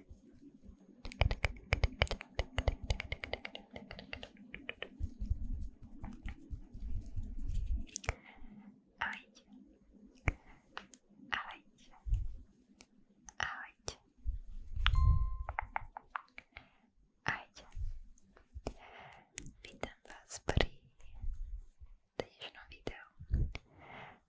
Ahojte. Ahojte. Ahojte. Ahojte. Vítam vás pri dnešnom videu.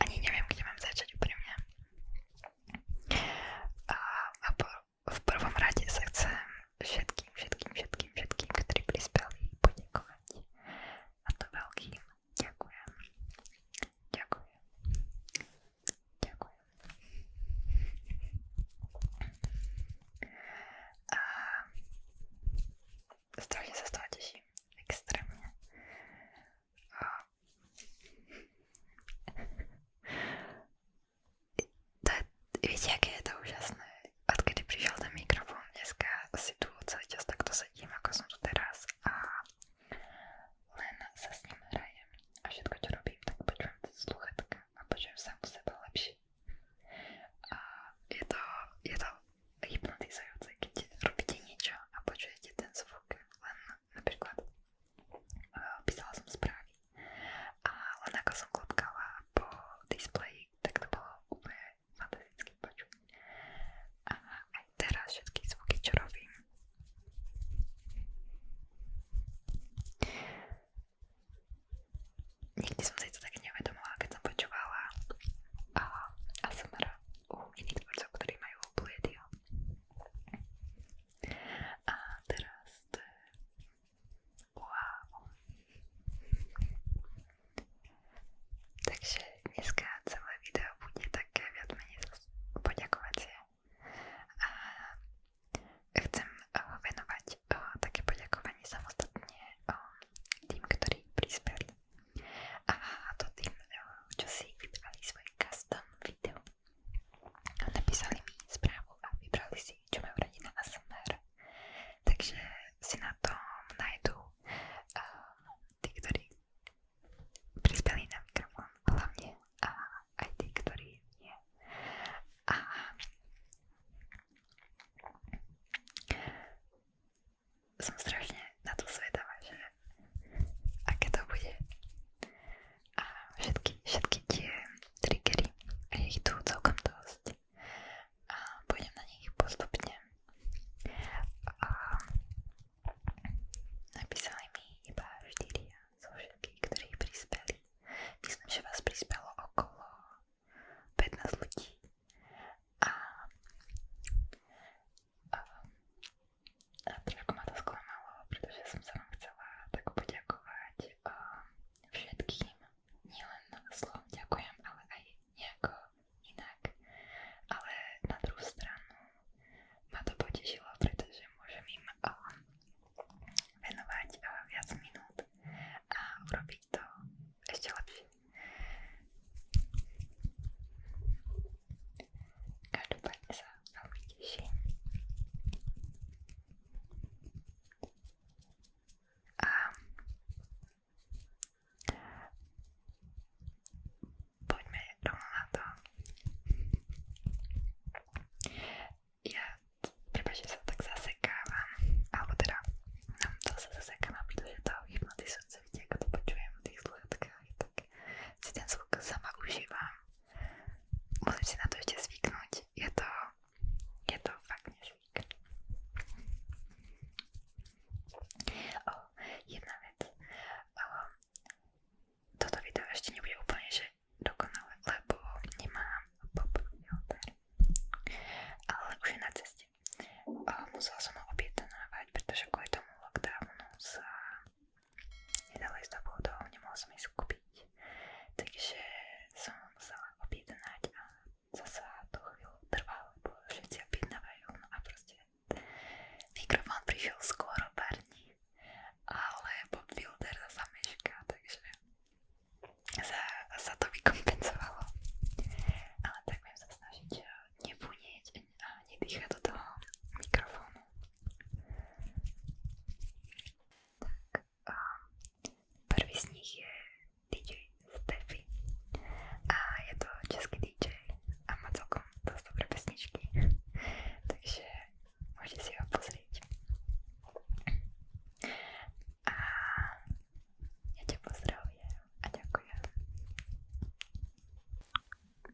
ani neviem, kde mám začať úprimne. A, a po, v prvom rade sa chcem všetkým, všetkým, všetkým, všetkým, ktorí prispeli, poďakovať. A to veľkým ďakujem. Ďakujem. Ďakujem. A strašne sa z toho teším. Extrémne. A... to je, viete, aké je to úžasné? Odkedy prišiel ten mikrofón dneska, si tu celý čas takto sedím, ako som tu teraz a len sa s ním hrajem a všetko, čo robím, tak počujem sluchatka a počujem sám seba lepšie. A je to, je to hypnotizujúce, keď robíte niečo a počujete ten zvuk len napríklad uh, písala som správy a len ako som klopkala po displeji, tak to bolo úplne fantastické počuť. A aj teraz všetky zvuky, čo robím, Nikdy som si to tak neuvedomila, keď som počúvala eh, a, a som u iných tvorcov, ktorí majú pliedio. A teraz to je... Wow. Takže dneska celé video bude také viac menej poďakovacie. A chcem eh, venovať eh, také poďakovanie samostatne eh, tým, ktorí prispeli. A to tým čo Napísali mi správu a vybrali si, čo radi Takže si na tom nájdú uh, eh, tí, ktorí prispeli na a aj tí, ktorí nie. A som strašne na to zvedavá, že aké to bude. A všetky, všetky tie triggery, je ich tu celkom dosť. A pôjdem na nich postupne. A napísali mi iba 4 zo všetkých, ktorí prispeli. Myslím, že vás prispelo okolo 15 ľudí. A a, a trošku ma to sklamalo, pretože som sa vám chcela tak poďakovať a, um, všetkým. Nielen slovom ďakujem, ale aj nejako inak. Ale na druhú stranu ma to potešilo, pretože môžem im a, um, venovať a, uh, viac minút a urobiť to ešte lepšie. Každopádne sa veľmi teším. A poďme rovno na to. Ja, prepáč, že sa tak zasekávam, alebo teda, no to sa zasekávam, pretože to hypnotizujúce vidie, ako to počujem v tých sluchatkách, tak si ten zvuk sama užívam. Musím si na to ešte zvyknúť. Je to, je to fakt nezvyk. O, jedna vec. O, toto video ešte nebude úplne, že dokonalé, lebo nemám pop filter. Ale už je na ceste. O, musela som ho objednávať, pretože kvôli tomu lockdownu sa nedali z obchodov, nemohol som ísť kúpiť. Takže som musela objednať a zasa to chvíľu trvalo, lebo všetci objednávajú, no a proste mikrofón prišiel skôr o pár dní, ale Bob Wilder zasa mešká, takže sa, sa to vykompenzovalo. Ale tak budem sa snažiť nebúniť a nedýchať do toho mikrofónu. Tak, um, prvý z nich je DJ Steffi a je to český DJ a má celkom dosť dobré pesničky, takže môžete si ho pozrieť. A ja ťa pozdravujem a ďakujem.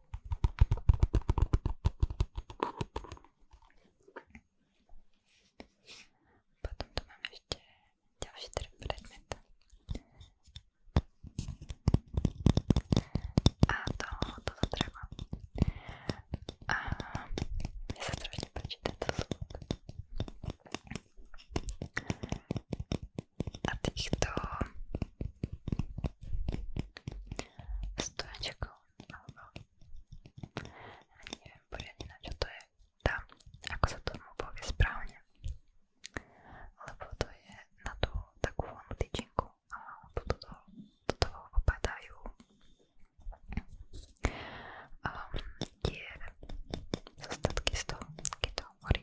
Potom tu máme ešte ďalší teda predmet. A to, toto treba. A mne sa strašne páči tento zvuk. A týchto stojačkou alebo ani neviem poriadne na čo to je tam, ako sa tomu povie správne lebo to je na tú takú voľnú tyčinku a do toto, toto opadajú um, dier zostatky z toho, keď to horí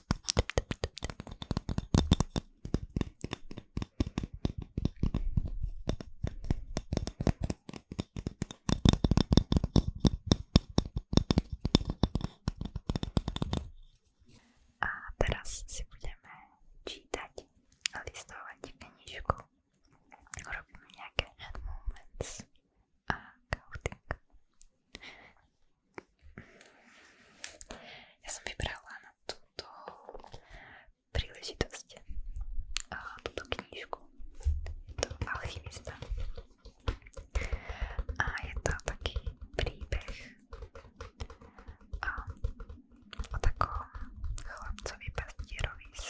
A teraz si budeme čítať a listovať knižku. Robíme nejaké hand movements a counting. Ja som vybrala na túto príležitosť a túto knižku. Je to Alchymista. A je to taký príbeh a, o takom chlapcovi pastierovi z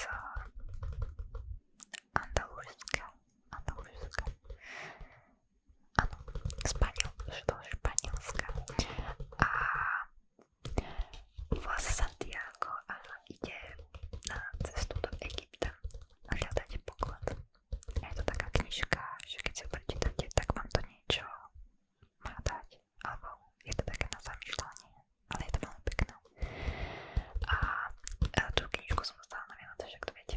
Andalúzska. Andalúzska ano, Španiel, do Španielska a volá sa Santiago a ide na cestu do Egypta a hľadáte poklad. Je to taká knižka, že keď si ju prečítate, tak vám to niečo má dať, alebo je to také na zamýšľanie, ale je to veľmi pekné. A, a tú knižku som dostala na Vianoce, však to viete.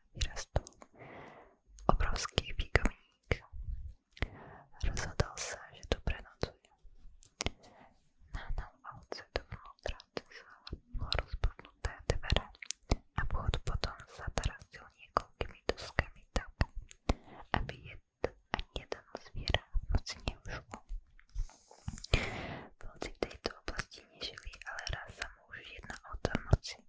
vyrastol obrovský výgomník. Rozhodol sa, že tu prenocuje. Nahnal ovce dovnútra cez rozpadnuté dvere a vchod potom zatarasil niekoľkými doskami tak, aby jed ani jeden zviera moc neušlo. Vlci v tejto oblasti nežili, ale raz sa mu už jedna ovca v noci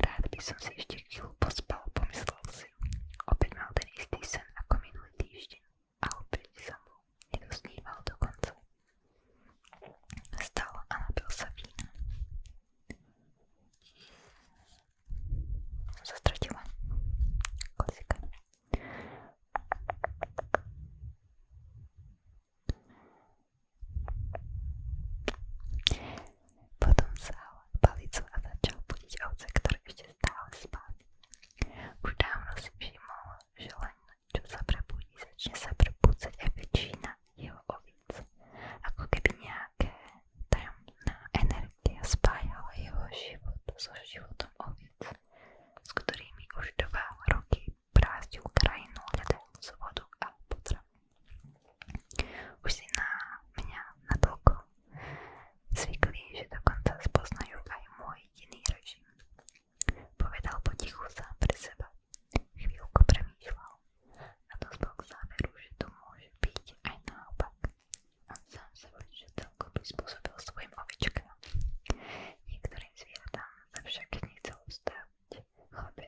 Rád by som si ešte chvíľu pospal, pomyslel si. Opäť mal ten istý sen ako minulý týždeň a opäť sa mu nedosníval dokonca. Vstal a napil sa vína. Zastratila kozika. Potom vzal palicu a začal budiť ovce, ktoré ešte stále spali. Už dávno si všimol, že len čo sa prebudí, začne sa prebúcať aj väčšina jeho ovíc. Ako keby nejaké tajomná energia spájala jeho život so životom ovíc, s ktorými už dva roky prázdil krajinu, hľadajúc vodu a potravu. Už si na mňa natoľko zvykli, že dokonca spoznajú aj môj iný režim. Povedal potichu sám pre seba. Chvíľku premýšľal a dospel k záveru, že to môže byť aj naopak. On sám sa že celko prispôsobil svojim ovičkám. Niektorým zvieratám sa však nechcel ustávať. Chlapec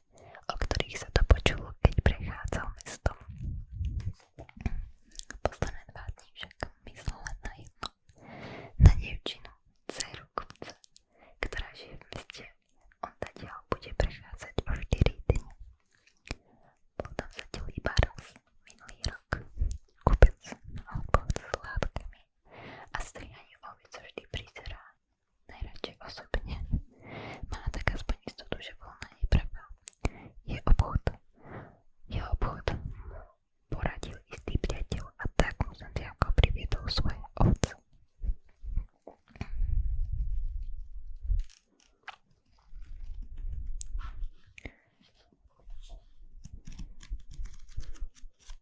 zvuky, o ktorých sa to počulo, keď prechádzal mestom. Posledné dva dní však myslel len na jedno. Na dievčinu, dceru kupca, ktorá žije v meste. On zatiaľ bude prechádzať o 4 dni. Bol tam zatiaľ iba raz, minulý rok. Kupec, obchod s látkami a strihanie oviec vždy prizerá najradšej osobne. Má tak aspoň istotu, že bol na nej pravda. Je obchod. Je obchod. Poradil istý priateľ a tak mu Santiago priviedol svoje ovce.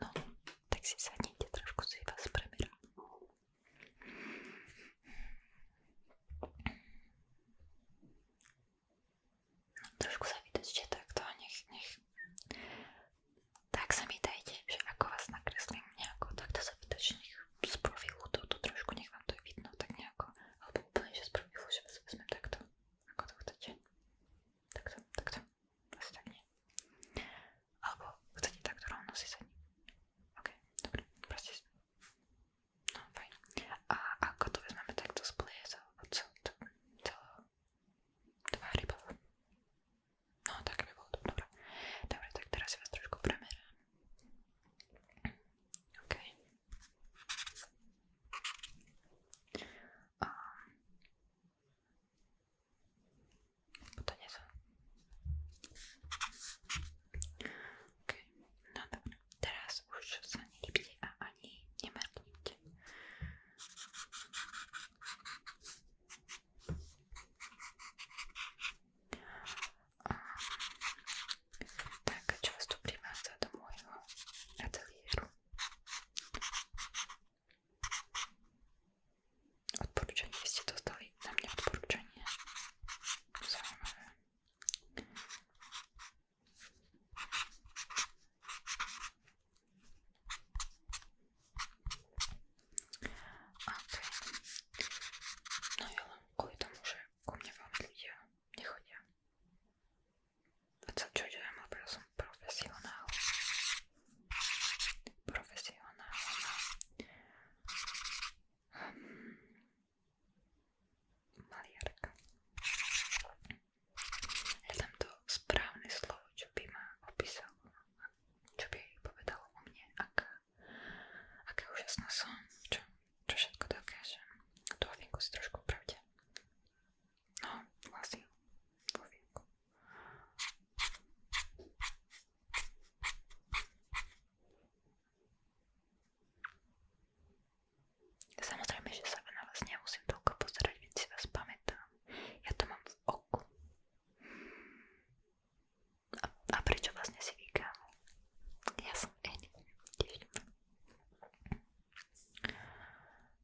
No, tak si sadnite, trošku si vás preberám. No, trošku sa vydržte takto a nech, nech. Tak sa mi dajte, že ako vás nakreslím nejako, takto sa vydržte, nech z profilu toto trošku, nech vám to je vidno, tak nejako, alebo úplne, že z profilu, že vás vezmem takto, ako to chcete. Takto, takto. Asi vlastne tak nie. Alebo chcete takto rovno si sedí. OK, dobre, proste No, fajn. A ako to vezmeme takto z pliezov od celého tvári bol. No, tak by bolo to. Dobre. Dobre, tak teraz si vás trošku premerám. OK. Um, Potaniec. OK, no dobre. Teraz už sa nehybte a ani nemrknite. Tak, čo vás tu primádza do môjho ateliéru? Odporúčanie ste dostali na mňa odporúčanie. Zaujímavé. Okay. No ja len kvôli tomu, že ku mne veľmi ľudia nechodia. A čo, čo idem, lebo ja som profesionál profesionálna. Um, maliarka. Je tam to správne slovo, čo by ma opísalo, čo by povedalo o mne, aká, aká úžasná som, čo, čo všetko dokážem. Tu ofinku si trošku upravte. No, vlastne ofinku. Samozrejme, že sa na vás nemusím toľko pozerať, veď si vás pamätám. Ja to mám v oku. A, a prečo vlastne si vykám? Ja som N. Tiež.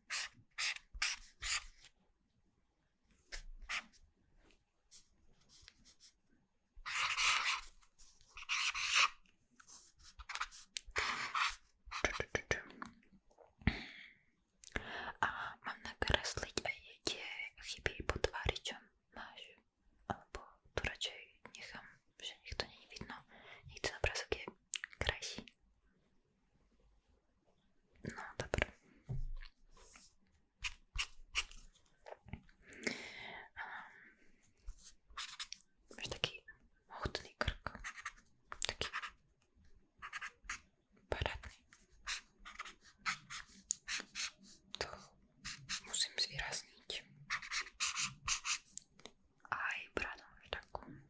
A mám nakresliť aj tie chyby pod tváričom. Máš? Alebo tu radšej nechám, že nech to nie je vidno. Nech ten obrázok je krajší. No dobra. Ehm, Masz taki chudny krok. Taki paradny. To musím zvýrazniť. Aj bradu máš takú.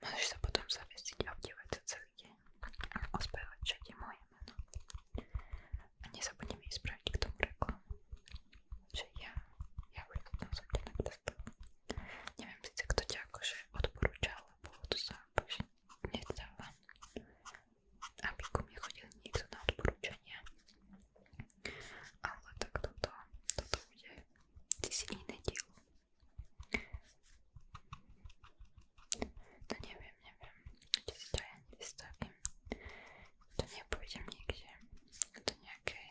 Môžeš sa potom zavesiť a obdívať sa celý deň a ospevať, čo je moje meno. A nezabudnem ísť spraviť k tomu reklamu, že ja, ja už to tam som ťa nakrestal. Neviem síce, kto ťa akože odporúča, lebo to sa akože nezdávam, aby ku mne chodil niekto na odporúčania. Ale tak toto, toto bude si iný diel, to neviem, neviem, či si to ja nevystavím. To nepôjdem niekde do nejakej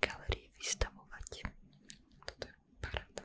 galerii vystavovať. Toto je paráda.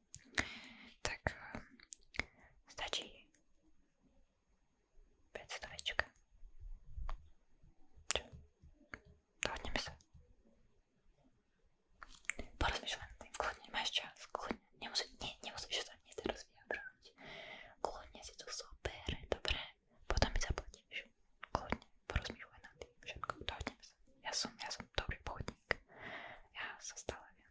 tak eh, stačí 500 večka. Čo? Dohodneme sa. Porozmýšľam tým, kľudne máš čas, kľudne, nemusíš, nie, nemusíš sa ani teraz vyjadrovať. Kľudne si to zober, dobre, potom mi zaplatíš. Kľudne, porozmýšľaj nad tým, všetko, dohodneme sa. Ja som, ja som dobrý pohodník, ja sa stále viem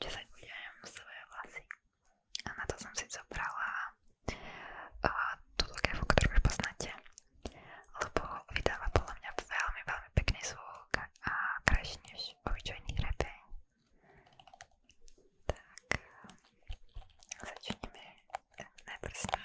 10 budem svoje vlasy. A na to som si zobrala uh, túto kevu, ktorú už poznáte, lebo vydáva podľa mňa veľmi, veľmi pekný zvuk a krajší než obyčajný krepeň. Tak, začneme najprv s ním.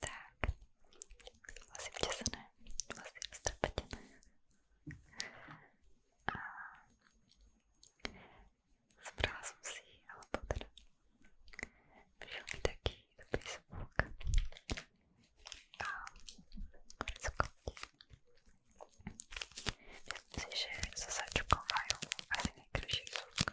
Tak, vlasy vtesané, vlasy roztrpetené. A zobrala som si, alebo teda prišiel mi taký dobrý zvuk. A skopni. Myslím si, že so sačkou majú asi najkrajší zvuk.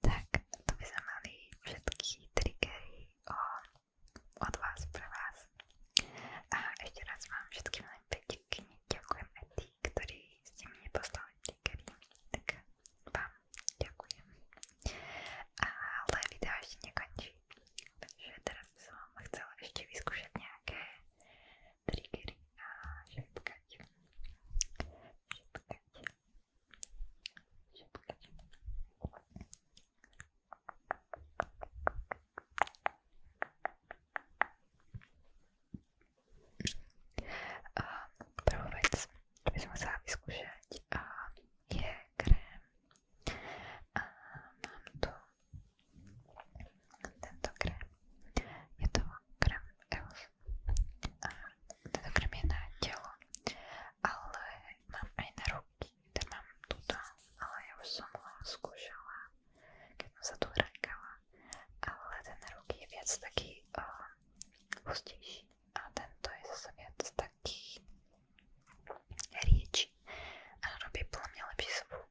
tak tu by sme mali všetky triggery o, od vás pre vás. A ešte raz vám všetkým len pekne ďakujem aj tí, ktorí ste mi neposlali triggery, tak vám ďakujem. Ale video ešte nekončí, takže teraz by som vám chcela ešte vyskúšať nejaké triggery a šepkať. Šepkať. Šepkať. A prvú vec, čo by som chcela vyskúšať, a je krém. A mám tu tento krém. Je to krém EOS teda krém je na telo, ale mám aj na ruky, teda mám túto, ale ja už som ho skúšala, keď som sa tu hrankala, ale ten na ruky je viac taký uh, hustejší a tento je zase viac taký rieči a robí podľa mňa lepší zvuk.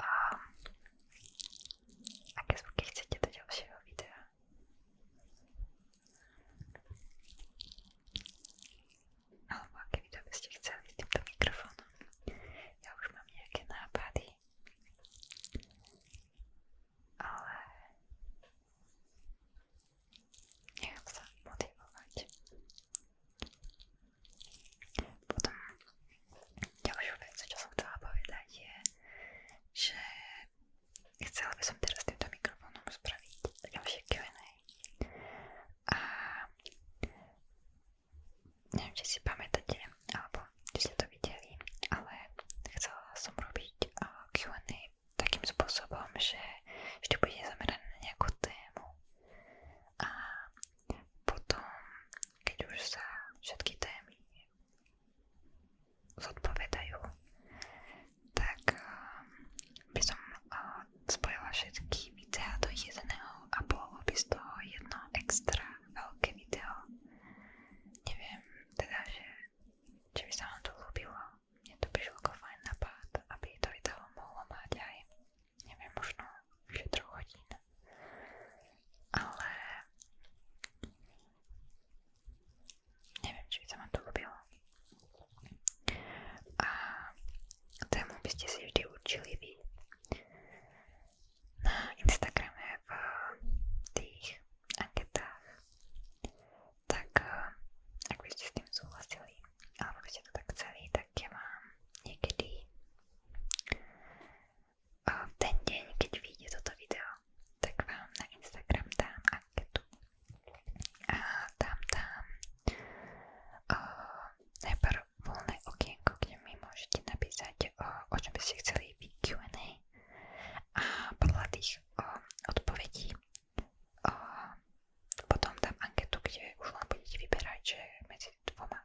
a aké zvuky chcete do ďalšieho videa. Alebo aké video by ste chceli s týmto mikrofónom. Ja už mám nejaké nápady, ale nechám sa motivovať. Potom Ďalšou vec, čo som chcela povedať je, že chcela by som teraz týmto mikrofónom spraviť ďalšie Q&A. A neviem, či si pamätáte, alebo či ste to videli, ale chcela som robiť Q&A takým spôsobom, že vždy bude zamerané na nejakú tému a potom, keď už sa všetky témy tak eh, by som eh, spojila všetky videá do jedného a bolo by z jedno extra veľké video. teda, že či vám to ľúbilo. Mne to prišlo ako fajn napad, aby to video mohlo mať aj, možno už je troch hodín. Ale neviem, či by sa vám to ľúbilo. A tému by ste si vždy určili vy. Na Instagrame v tých anketách. Tak eh, ak by ste s tým súhlasili, alebo by ste to tak chceli, tak ja mám niekedy ten deň, keď vyjde toto video, tak vám na Instagram dám anketu. A tam dám najprv voľné okienko, kde mi môžete napísať, o, o by ste chceli Q&A. A podľa tých o, odpovedí potom dám anketu, kde už len budete vyberať, že dvoma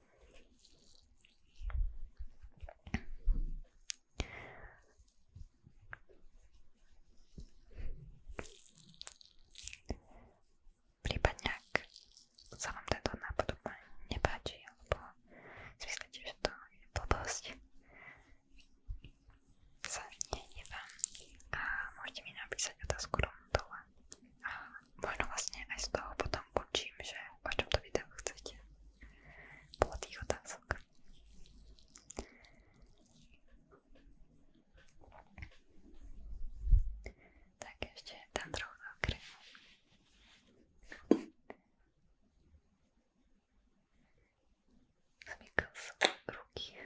Prípadne, ak sa vám táto nápodobanie nepáči, alebo si myslíte, že to je blbosť, sa nehnevám a môžete mi napísať otázku rovno dole a možno vlastne aj z toho potom učím, že o čom to video chcete. Bolo tých otázok. Tak ešte tam trochu zakrývam. Zamykam sa ruky. Okay.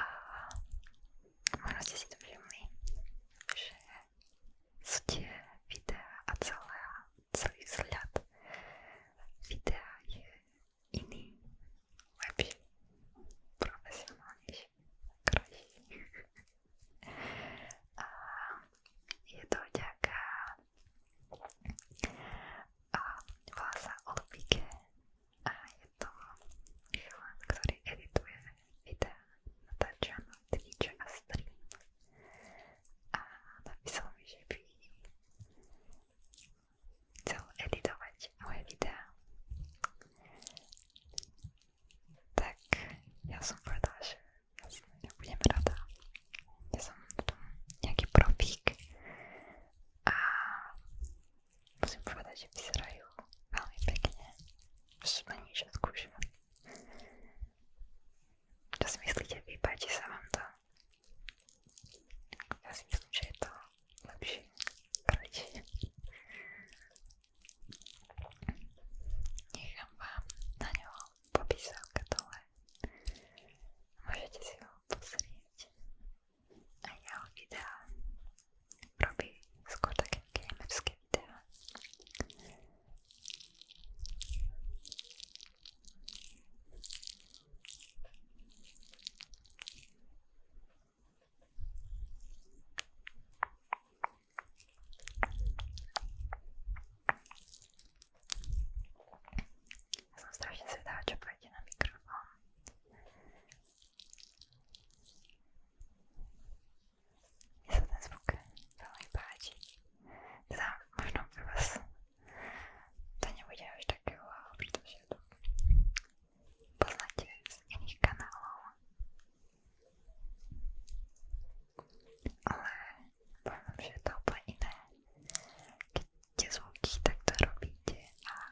a možno ste si to všimli, že sú tie videá a celé, celý vzhľad videa je iný, lepší, profesionálnejší, krajší. a je to vďaka a volá sa Olbike a je to chlap, ktorý edituje videá, natáča na Twitch a stream a napísal mi, že by chcel editovať moje videá. Tak ja som povedala, že ja budem rada. Ja som v tom nejaký profík a Musím povedať, že vyzerajú veľmi pekne. Ešte na nič odkúšam. Čo si myslíte, vy páči sa vám to? Ja si myslím, že je to lepšie, kratšie. Nechám vám na ňo popísavka dole. Môžete si ho pozrieť a jeho videá. Robí skôr také gamerské videá. Ja som strašne zvedavá, čo pôjde na mikrofón. Mne sa ten zvuk veľmi páči. Teda možno pre vás to nebude až také wow, pretože to poznáte z iných kanálov. Ale poviem, že je to úplne iné. Keď tie zvuky takto robíte a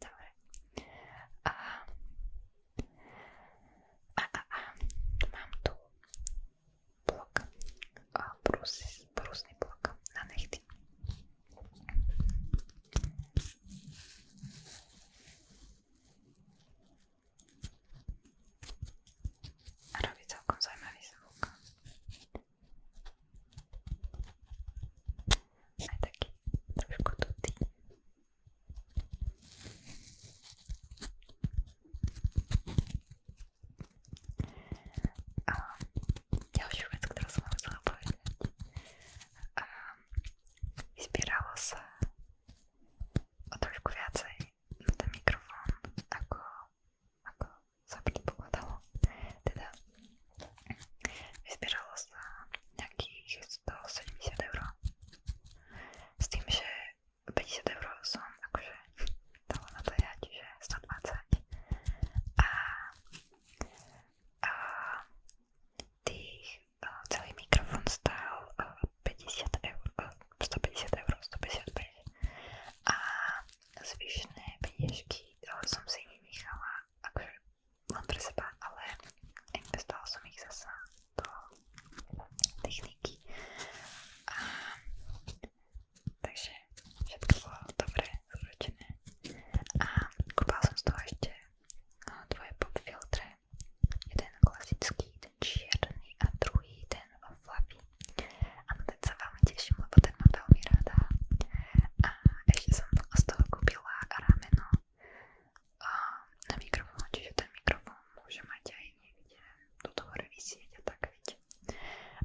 Dobre. A, a, a, a. Mám tu blok, brúsny brus, blok na nechty. A robí celkom zaujímavý zvuk. Aj taký trošku tutý. A ďalšiu vec, ktorú som vám chcela povedať. A vyspieralo sa o trošku viacej na ten mikrofón, ako, ako sa predpokladalo. Teda vyzbieralo sa nejakých 170 eur. S tým, že 50 eur som akože dala na to ja, čiže 120. A, a tých celý mikrofón stál 50 eh, eur, 150 eh, eur, 155 a zvyšné peniažky eh, som si nenechala akože len pre seba, ale investovala som ich zasa do techniky a takže všetko bolo dobre zúročené a kúpala som z toho ešte dvoje pop filtre Jeden klasický, ten čierny a druhý ten fluffy. Áno, ten sa veľmi teším, lebo ten mám veľmi rada. A ešte som z toho kúpila rameno na mikrofón, čiže ten mikrofón môže mať aj niekde toto hore vysieť a tak vidieť.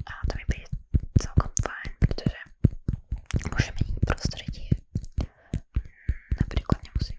A to mi príde celkom fajn, pretože môžem meniť prostredie. Hm, napríklad nemusím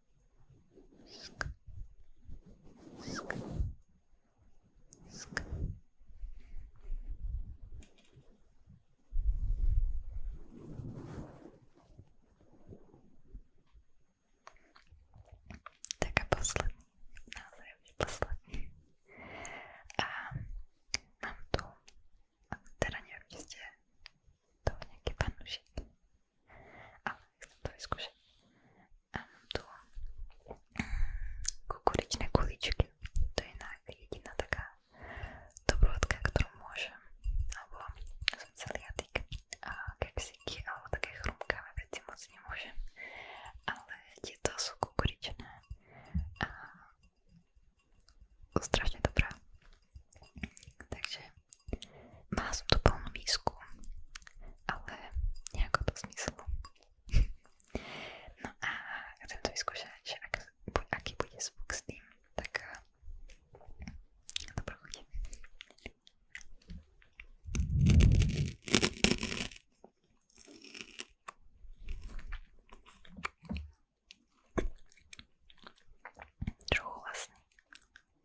Sk. Sk. Sk. Tak a posledný, naozaj už posledný. A mám tu, teda neviem, či ste to nejaký panušik, ale chcem to vyskúšať. A mám tu mm, kukuričné kuličky. To je jediná taká dobrodka, ktorú môžem. Alebo som celiatik a keksiky alebo také chrumkavé veci moc nemôžem. Ale tieto sú kukuričné a strašne dobrá. Takže má som tu plnú misku, ale nejako to zmyslu. no a chcem to vyskúšať, že ak, aký bude zvuk s tým, tak dobro eh, chodím. Trochu vlastný.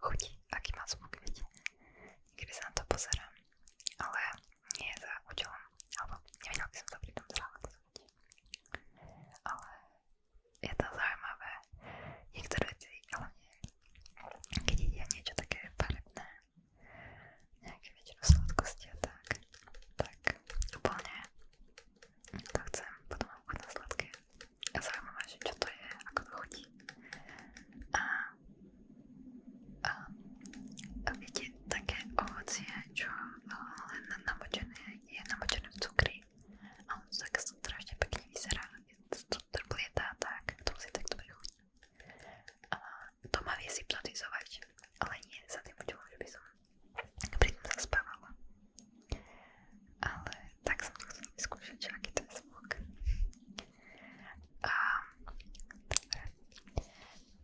chutí, aký má zvuk, viete. Niekedy sa na to pozerám, ale nie za účelom, alebo nevedela by som to pri tom zrávať. Ale je to zaujímavé. Niektoré veci, hlavne keď ide niečo také farebné, nejaké väčšinu sladkosti a tak, tak úplne to chcem, potom mám chuť na sladké. A zaujímavé, že čo to je, ako to chutí, ľudí. A, a, a viete, také ovocie, čo eh, len namočené je namočené v cukri. A on tak strašne pekne vyzerá. To trblietá tak, to musí tak dobre chutí. A to ma vie hypnotizovať, ale nie za tým účelom, že by som pritom zaspávala. Ale tak som to chcela vyskúšať, že aký to je zvuk. A dobre,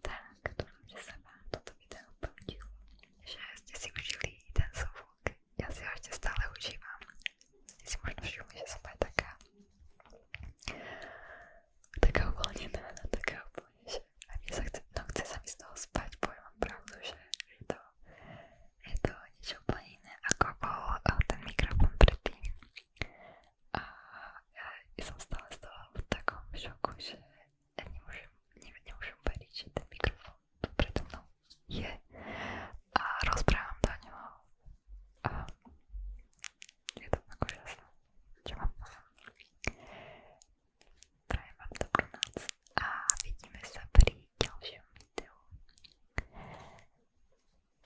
tak dúfam, že sa vám toto video páčilo, že ste si užili ten zvuk, ja si ho ešte stále užívam. Ste si možno všimli, že som aj taká taká uvoľnená, taká úplne, že aj mne sa chce, no chce sa mi z toho spať, poviem vám pravdu, že je to, je to niečo úplne iné, ako bol eh, ten mikrofón predtým. A ja som stále z toho v takom šoku, že nemôžem, ne, nemôžem veriť, že ten mikrofón tu predo mnou je a rozprávam do ňoho a je to tak úžasné, čo mám Prajem vám dobrú noc a vidíme sa pri ďalšom videu.